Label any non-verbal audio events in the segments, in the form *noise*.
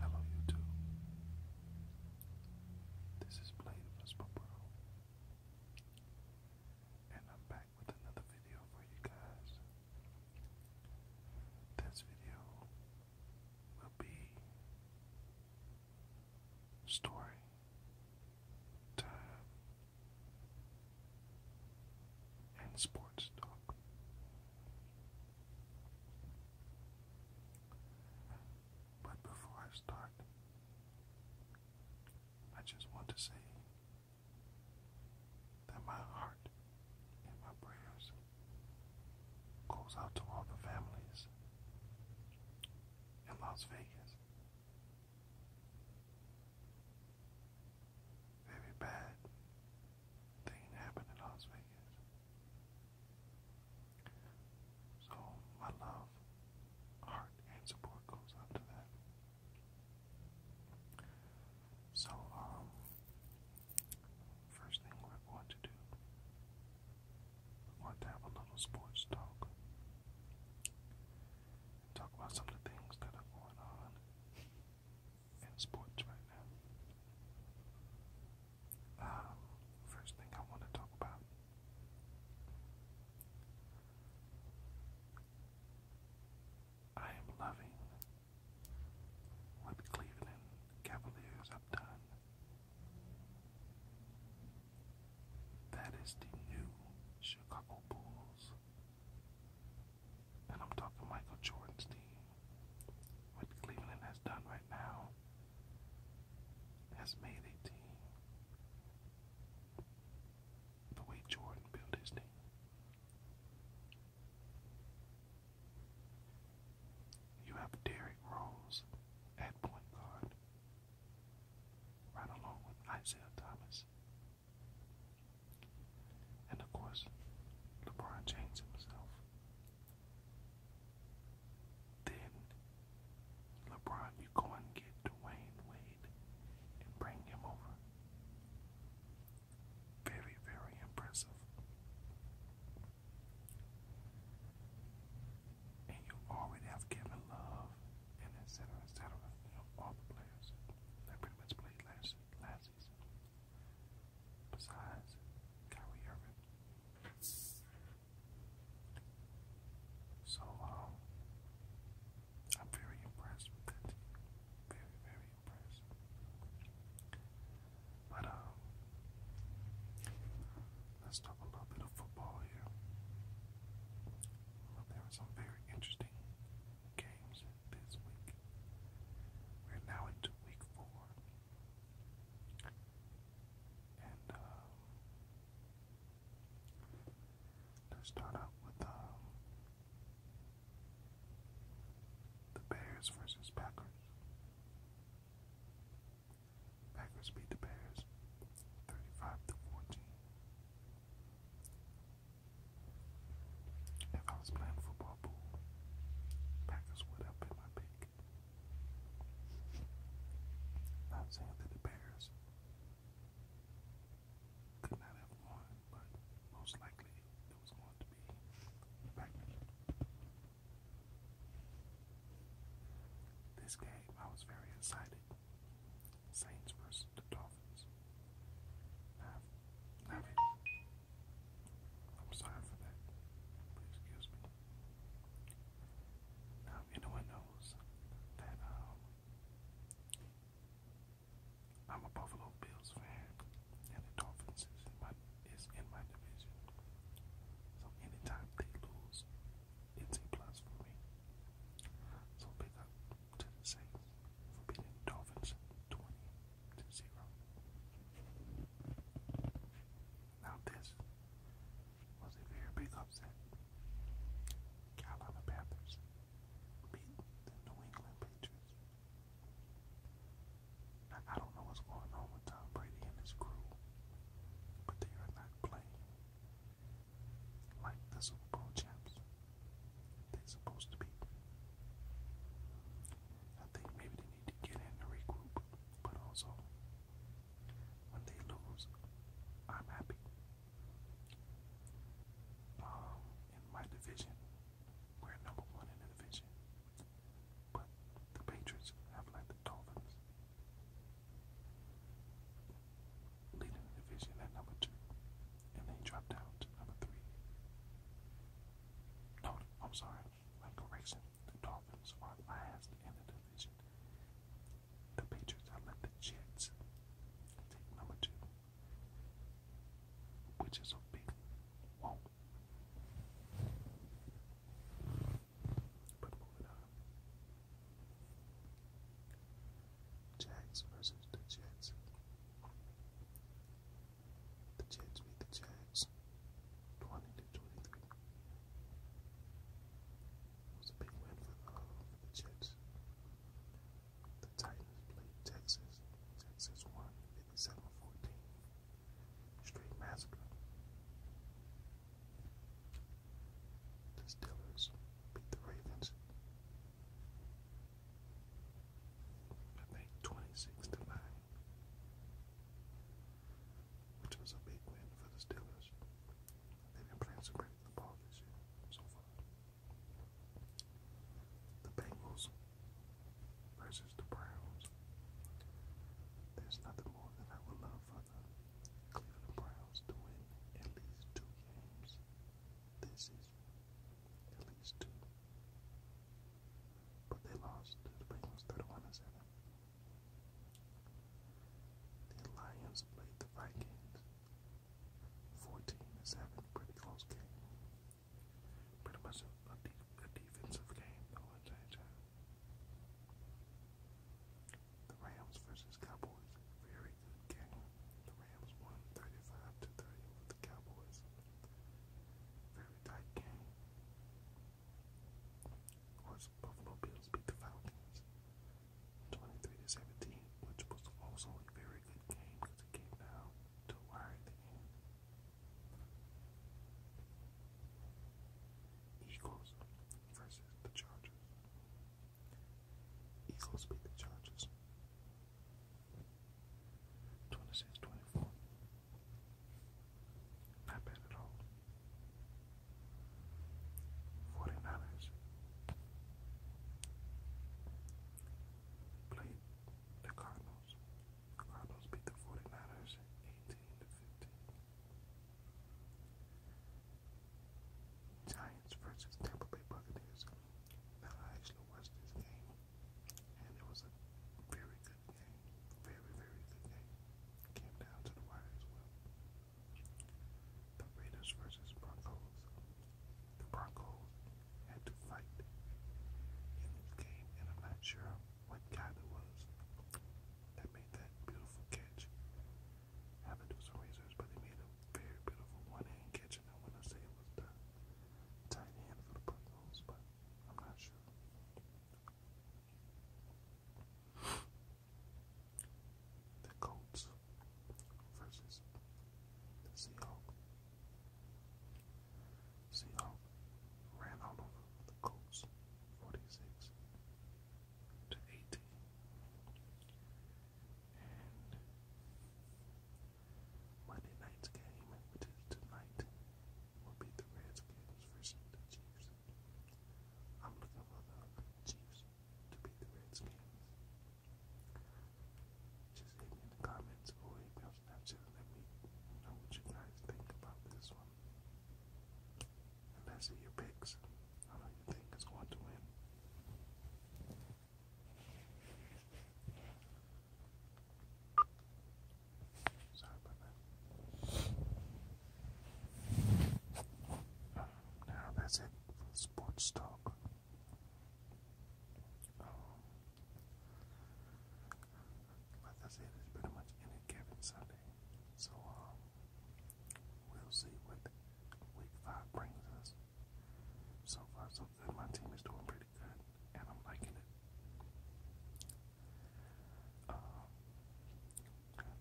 Hello YouTube. This is Blade Vespa Pro. And I'm back with another video for you guys. This video will be story time and sports talk. But before I start, I just want to say that my heart and my prayers goes out to all the families in Las Vegas very bad thing happened in Las Vegas. So my love, heart, and support goes out to that. So, um, first thing we're to do, we're to have a little sports talk. Talk about some of the things that are going on in sports right now. Um, first thing I want to talk about I am loving what the Cleveland Cavaliers have done. That is the new Chicago Bulls. And I'm talking Michael Jordan's team. What Cleveland has done right now has made a team. The way Jordan built his team. You have Derrick Rose at point guard, right along with Isaiah Thomas and of course, LeBron James himself. Then, LeBron, you go and get Dwayne Wade and bring him over. Very, very impressive. And you already have Kevin Love and et cetera, all the players that pretty much played last, last Besides, Kyrie Irving. So, um, I'm very impressed with it. Very, very impressed. But, um, let's talk a little bit of football here. there were some very interesting games this week. We're now into week four. And uh, start out with um, the Bears versus Packers. Packers beat the Bears 35 to 14. If I was playing football pool, Packers would have been my pick. Not saying that the Bears could not have won, but most likely it was going to be Packers. This game, I was very excited. Saints versus the Dolphins. have i I'm sorry for that. Please excuse me. Now, if anyone knows that um, I'm a Buffalo Bills fan, and the Dolphins is in my division. So anytime they lose, it's a plus for me. So we'll pick up ten to six. We'll beating Dolphins twenty to zero. Now this was a very big upset. Carolina Panthers beat the New England Patriots. Now, I don't know what's going on with Tom Brady and his crew, but they are not playing like the Super Bowl champs. They're supposed to be. I think maybe they need to get in and regroup, but also when they lose, I'm happy. Um, in my division, we're number one in the division, but the Patriots have like the Dolphins leading the division at number two, and they dropped down to number three. No, I'm sorry, my correction. The Dolphins are last in the division. The Patriots are the Jets take number two, which is a big whoa. But moving on. Jags versus the Jets. The Jets beat the Jags 20 to 23. It was a big win for uh, the, Jets. The Titans played Texas. Texas won 57 Straight massacre. The Steelers beat the Ravens. I think 26 to 9. Which was a big win for the Steelers. They've been playing some great football this year so far. The Bengals versus the Browns. There's nothing more that I would love for the Browns to win at least two games this is at least two. But they lost to the Penguins 31 7. The Lions played the Vikings 14 7. Pretty close game. Pretty much a, defensive game, though, at time. The Rams versus Cowboys. Very good game. The Rams won 35 to 30 over the Cowboys. Very tight game. Of course, Buffalo Bills beat the Falcons 23 to 17, which was also a very good game because it came down to a wire at the end. Eagles versus the Chargers. Eagles beat the Chargers. 26 Not bad at all. 49ers played the Cardinals. Cardinals beat the 49ers 18 to 15. Giants versus Tampa Bay Buccaneers. I actually watched this game, and it was a very good game. Very, very good game. Came down to the wire as well. The Raiders versus Broncos. The Broncos had to fight in this game, and I'm not sure what guy it was that made that beautiful catch how to do some research, but they made a very beautiful one-hand kitchen. I want to say it was the tight end for the Broncos, but I'm not sure. *sighs* The Colts versus the Seahawks. Seahawks ran all over the Colts, 46 to 80. And Monday night's game, which is tonight, will be the Redskins versus the Chiefs. I'm looking for the Chiefs to beat the Redskins. Just hit me in the comments or hit Snapchat let me know what you guys think about this one and best of your picks on who you think is going to win. Sorry about that. now that's it for the sports talk. Um, like it's pretty much any given Sunday. So um, we'll see what week five brings us. So far, so good. My team is doing pretty good, and I'm liking it. Uh,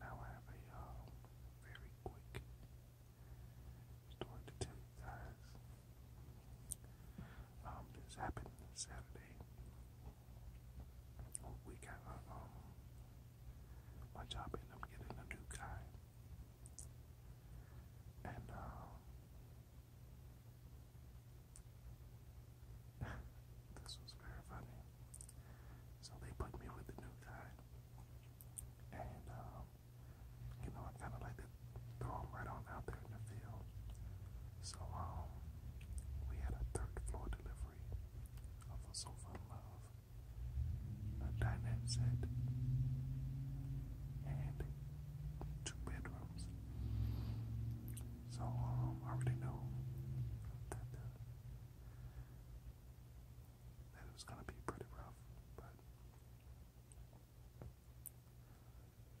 now I have a um, very quick story to tell you guys. Um, this happened Saturday we got my job ended up getting a new guy. And, uh, *laughs* this was very funny. So they put me with the new guy. And, uh, you know, I kind of like to throw him right on out there in the field. So, um, we had a third floor delivery of a soulful love, a dinette set, and two bedrooms. So um, I already know that uh, that it was gonna be pretty rough, but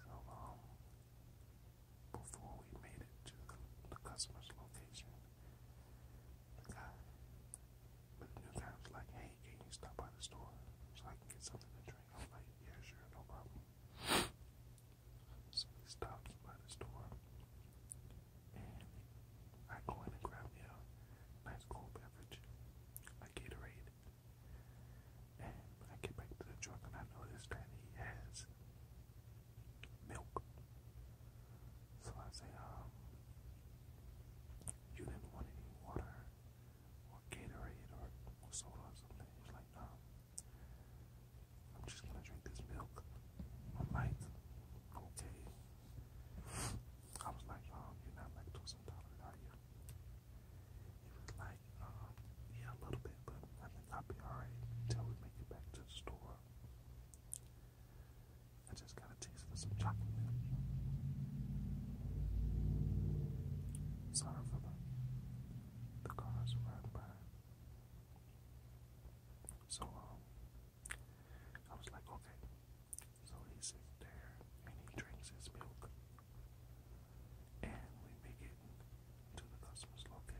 so um, before we made it to the customer's location, guy. But the new guy was like, hey, can you stop by the store so I can get something to drink? I'm like, yeah, sure, no problem. So he stops by the store, and I go in and grab me a nice cold beverage, like Gatorade. And when I get back to the truck, and I notice that he has milk. So I say, um, you didn't want any water or Gatorade or, or soda or something. He's like, no, I'm just gonna drink this milk. I'm like, okay. I was like, um, you're not lactose intolerant, are you? He was like, um, yeah, a little bit, but I think I'll be alright until we make it back to the store. I just got a taste for some chocolate Sorry for the, cars riding by. So, um, I was like, okay. So he sits there and he drinks his milk. And we make to the customer's location.